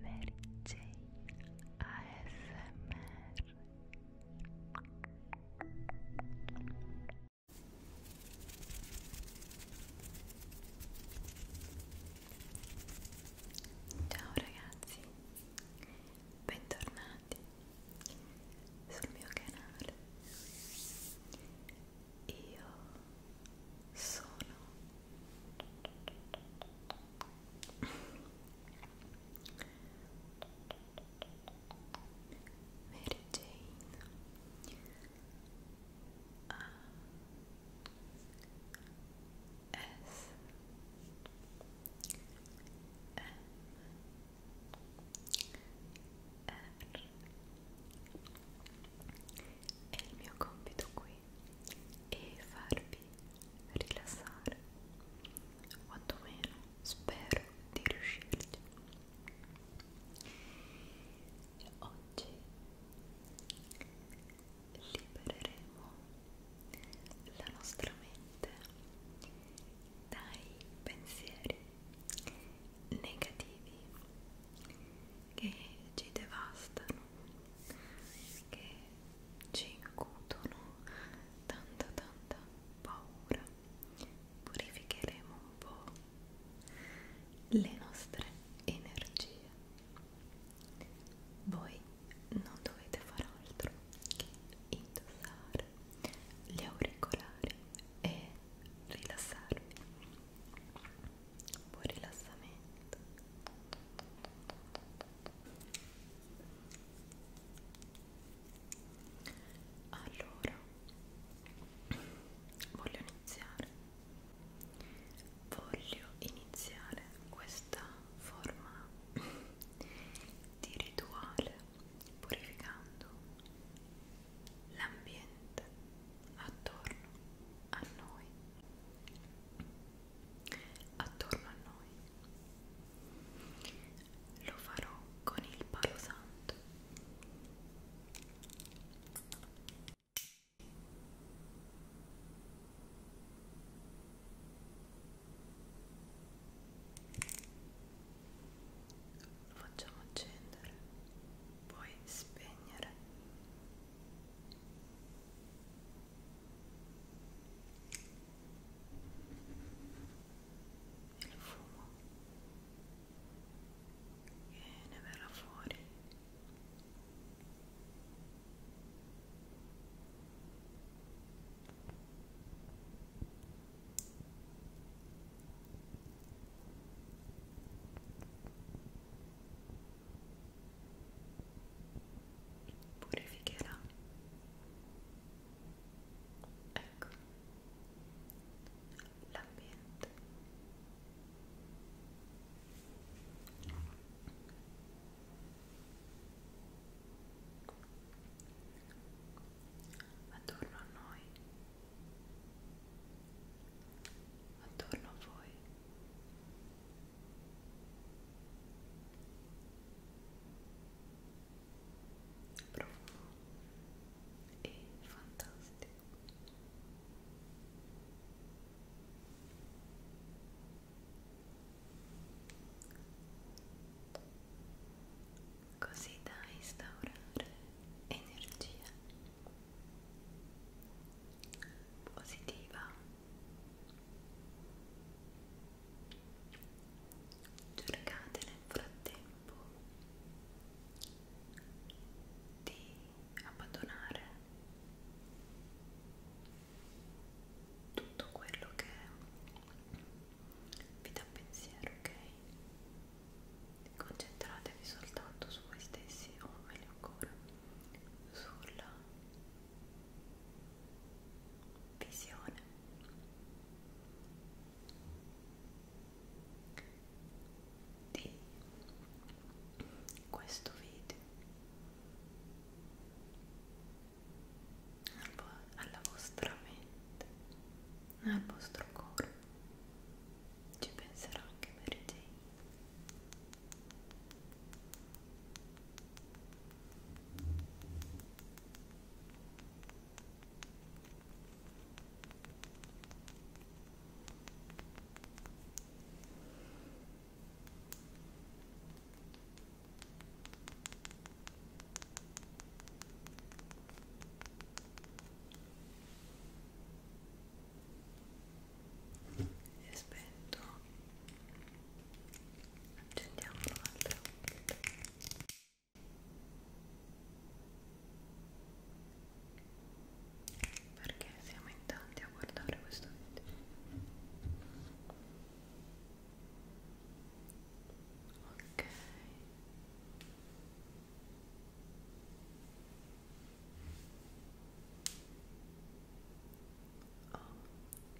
Mary Jane ASMR Ciao ragazzi, bentornati sul mio canale. Io sono Mary Jane A S M R e il mio compito qui voi e farvi rilassare quantomeno spero di riuscirci oggi libereremo la nostra mente dai pensieri negativi che ci devastano che ci incutono tanta tanta paura purificheremo un po' le nostre energie voi non dovete fare altro che indossare gli auricolari e rilassarvi buon rilassamento allora voglio iniziare voglio iniziare questa forma di rituale purificando l'ambiente attorno a noi attorno a noi. Lo farò con il palo santo. Lo facciamo accendere, poi spegnere il fumo che ne verrà fuori purificherà ecco l'ambiente attorno a noi attorno a voi profumo è fantastico così da instaurare energia positiva cercate nel frattempo di abbandonare tutto quello che vi dà pensiero, ok? Concentratevi soltanto su voi stessi o meglio ancora sulla visione di questo video alla vostra mente al vostro corpo ci penserò anche per te e aspetto accendiamo l'altra perché siamo in tanti a guardare questo video ok Oh,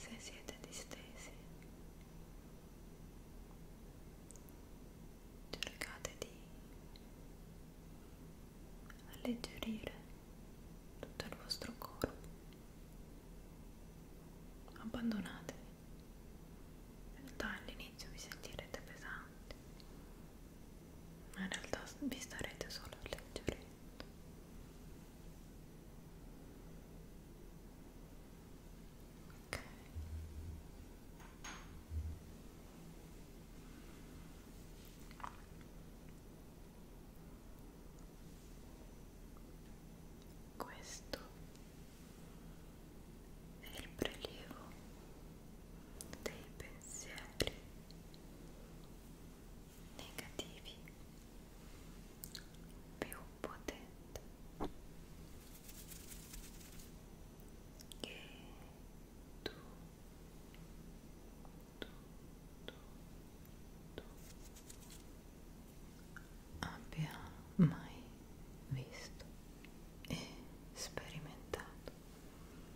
se siete distesi cercate di alleggerire tutto il vostro corpo abbandonatevi in realtà all'inizio vi sentirete pesanti ma in realtà vi starete solo alleggerendo ok questo è il prelievo dei pensieri negativi più potente che tu tu tu tu abbia mai visto e sperimentato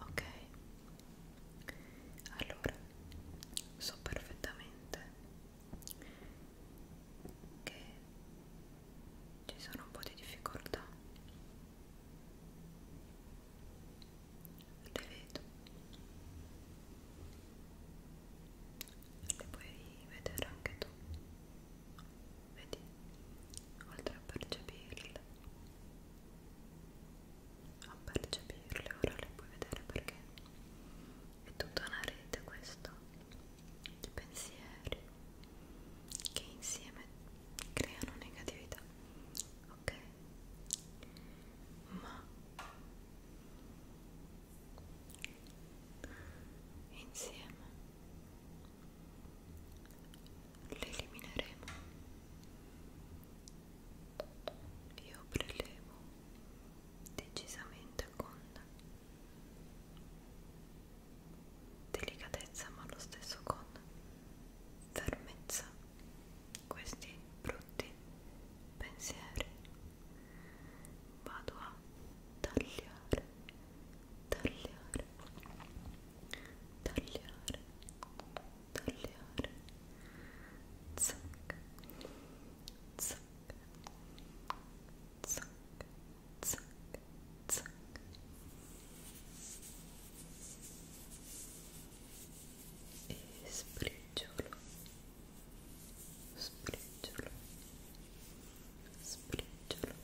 Ok, allora so perfettamente che ci sono un po' di difficoltà, le vedo le puoi vedere anche tu vedi oltre a percepirle a percepirle ora le puoi vedere perché è tutta una rete questa di pensieri che insieme creano negatività ok ma insieme le elimineremo io prelevo decisamente con delicatezza ma allo stesso con fermezza questi brutti pensieri vado a tagliare tagliare tagliare tagliare zac zac zac zac zac e spriggiolo spriggiolo spriggialo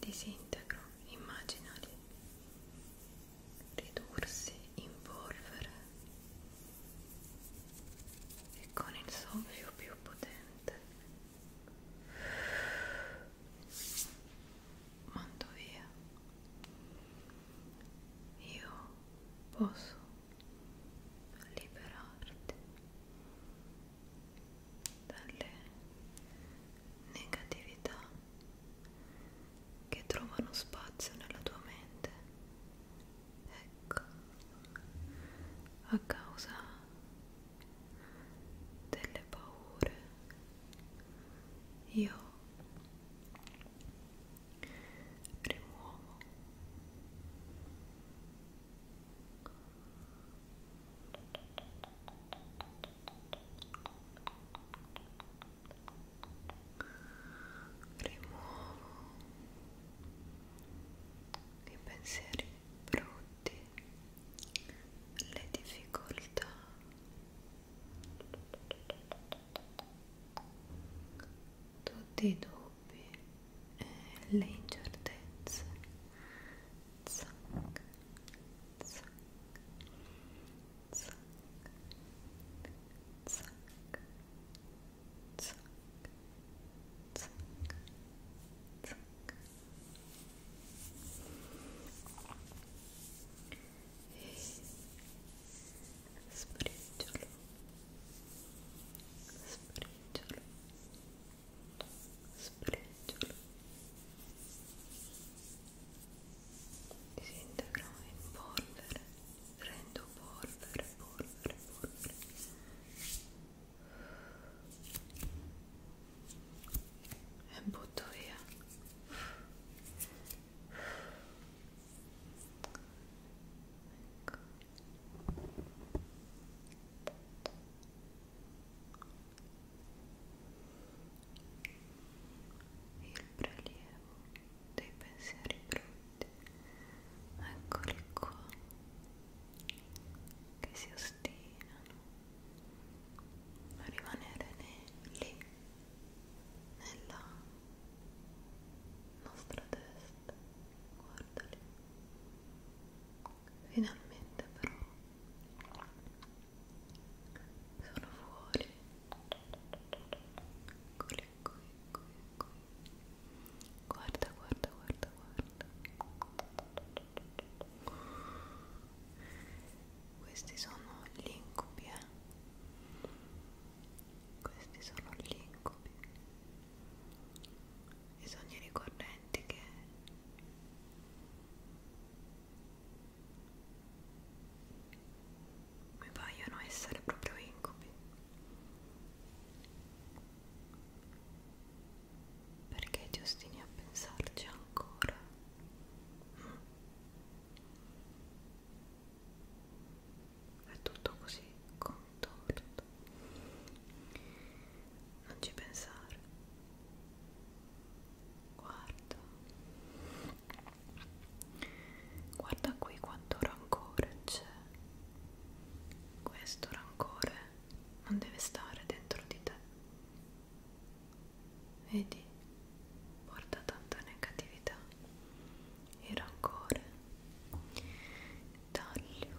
disintegro immaginali ridursi in polvere e con il soffio più potente mando via io posso liberarti dalle negatività che trovano spazio nella tua mente ecco a causa delle paure io rimuovo rimuovo i pensieri brutti, le difficoltà tutti i dubbi dubbi, eh, le incertezze. Zac, zac, zac, zac, zac, zac, zac. E spriggiolo, spriggiolo, Spregiolo. Spregiolo. Disintegro in polvere. Rendo polvere, polvere, polvere. E butto via. Ecco il prelievo dei pensieri brutti eccoli qua che si ostinano a rimanere ne lì nella nostra testa guardali finalmente però sono fuori eccoli eccoli eccoli eccoli guarda guarda guarda guarda questi sono gli incubi eh? questi sono gli incubi i sogni ricorrenti che mi paiono essere proprio incubi perché ti ostini a pensarci ancora mm. è tutto così complesso torto non ci pensare guarda guarda qui quanto rancore c'è questo rancore non deve stare dentro di te vedi porta tanta negatività il rancore taglio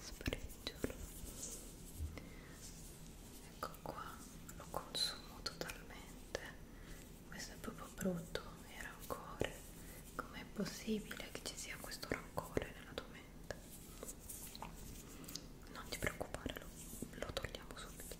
spregiolo ecco qua lo consumo totalmente questo è proprio brutto e rancore com'è possibile che ci sia questo rancore nella tua mente non ti preoccupare lo, lo togliamo subito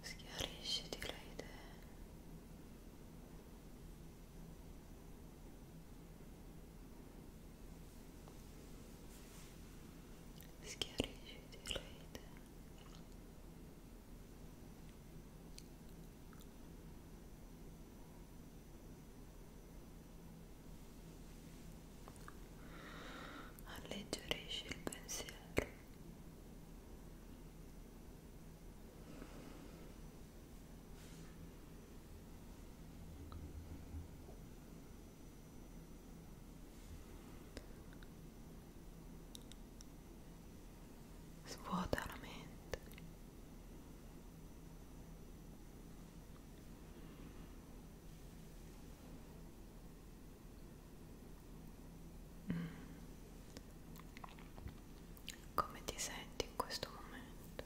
Schiarisciti le idee. Schiarisciti le idee alleggerisci il pensiero svuota la mente mm. come ti senti in questo momento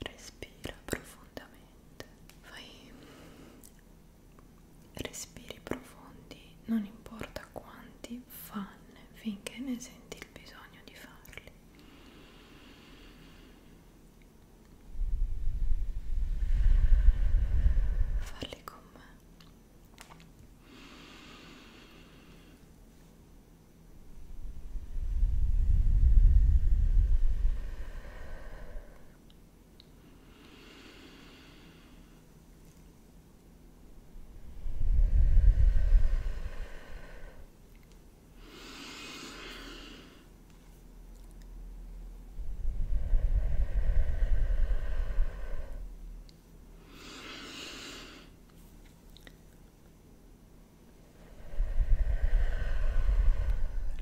respira profondamente fai respiri profondi, non importa quanti, fanne finché ne senti il bisogno di farli. Farli con me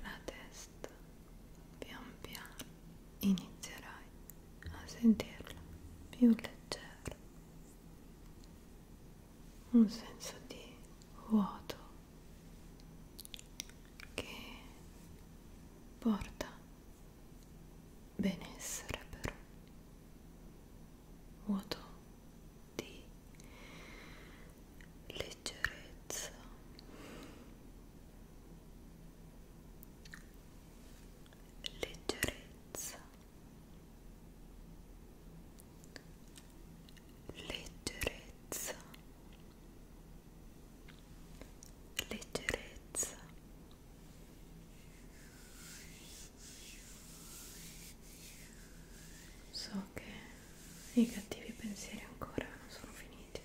la testa pian piano inizierai a sentirla più leggera, un senso di vuoto che porta benessere però, vuoto di leggerezza leggerezza, leggerezza, leggerezza. So che i cattivi pensieri ancora non sono finiti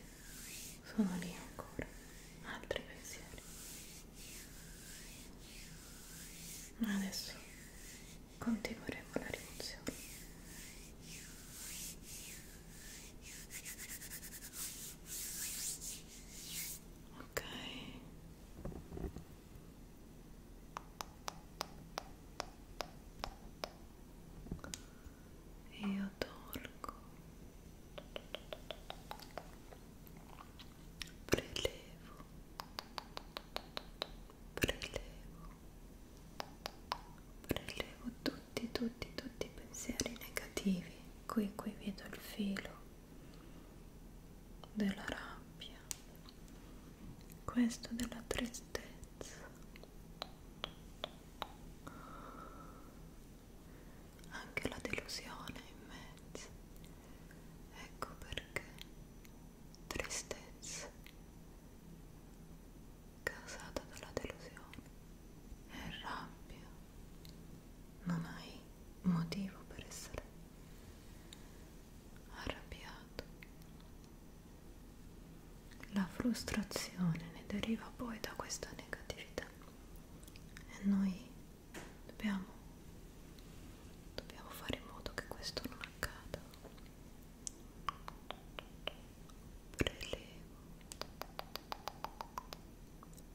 sono lì ancora altri pensieri ma adesso continueremo la rimozione ok e io tolgo prelevo prelevo prelevo tutti tutti tutti i pensieri negativi qui qui vedo il filo della rabbia questo della tristezza anche la delusione in mezzo ecco perché tristezza causata dalla delusione e rabbia non hai motivo per essere arrabbiato la frustrazione ne deriva poi da questa negatività vita e noi dobbiamo, dobbiamo fare in modo che questo non accada. Prelevo,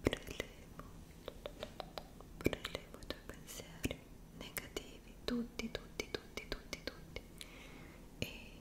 prelevo, prelevo i tuoi pensieri negativi, tutti, tutti, tutti, tutti, tutti e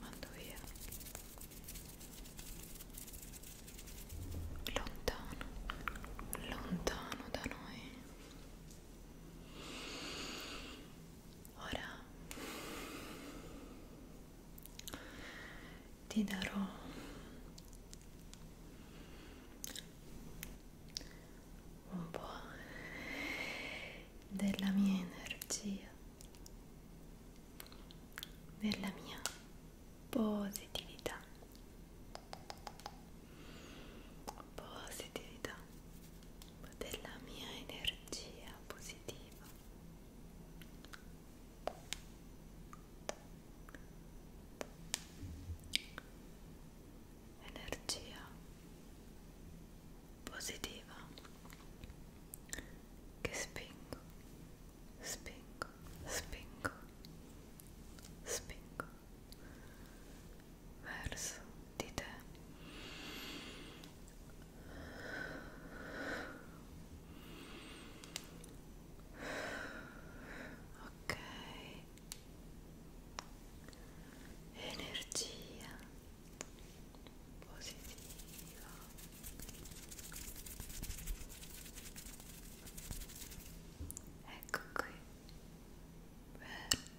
Mando via lontano, lontano da noi. Ora ti darò un po' della mia energia, della mia positività, positività della mia energia positiva energia positiva che spingo, spingo, spingo, spingo verso di te ok energia positiva ecco qui verde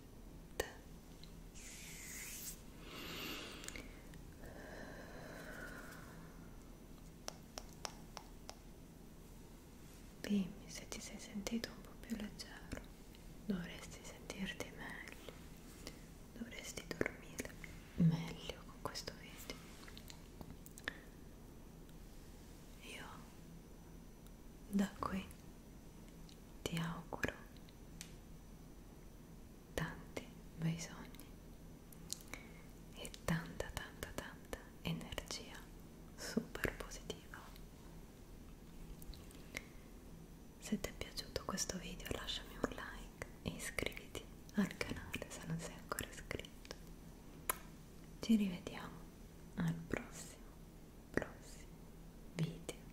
Dimmi se ti sei sentito un po' più leggero, dovresti sentirti meglio, dovresti dormire meglio con questo video. Io da qui ti auguro tanti bei sogni e tanta tanta tanta energia super positiva se ti è piaciuto questo video lasciami un like e iscriviti al canale se non sei ancora iscritto ci rivediamo al prossimo prossimo video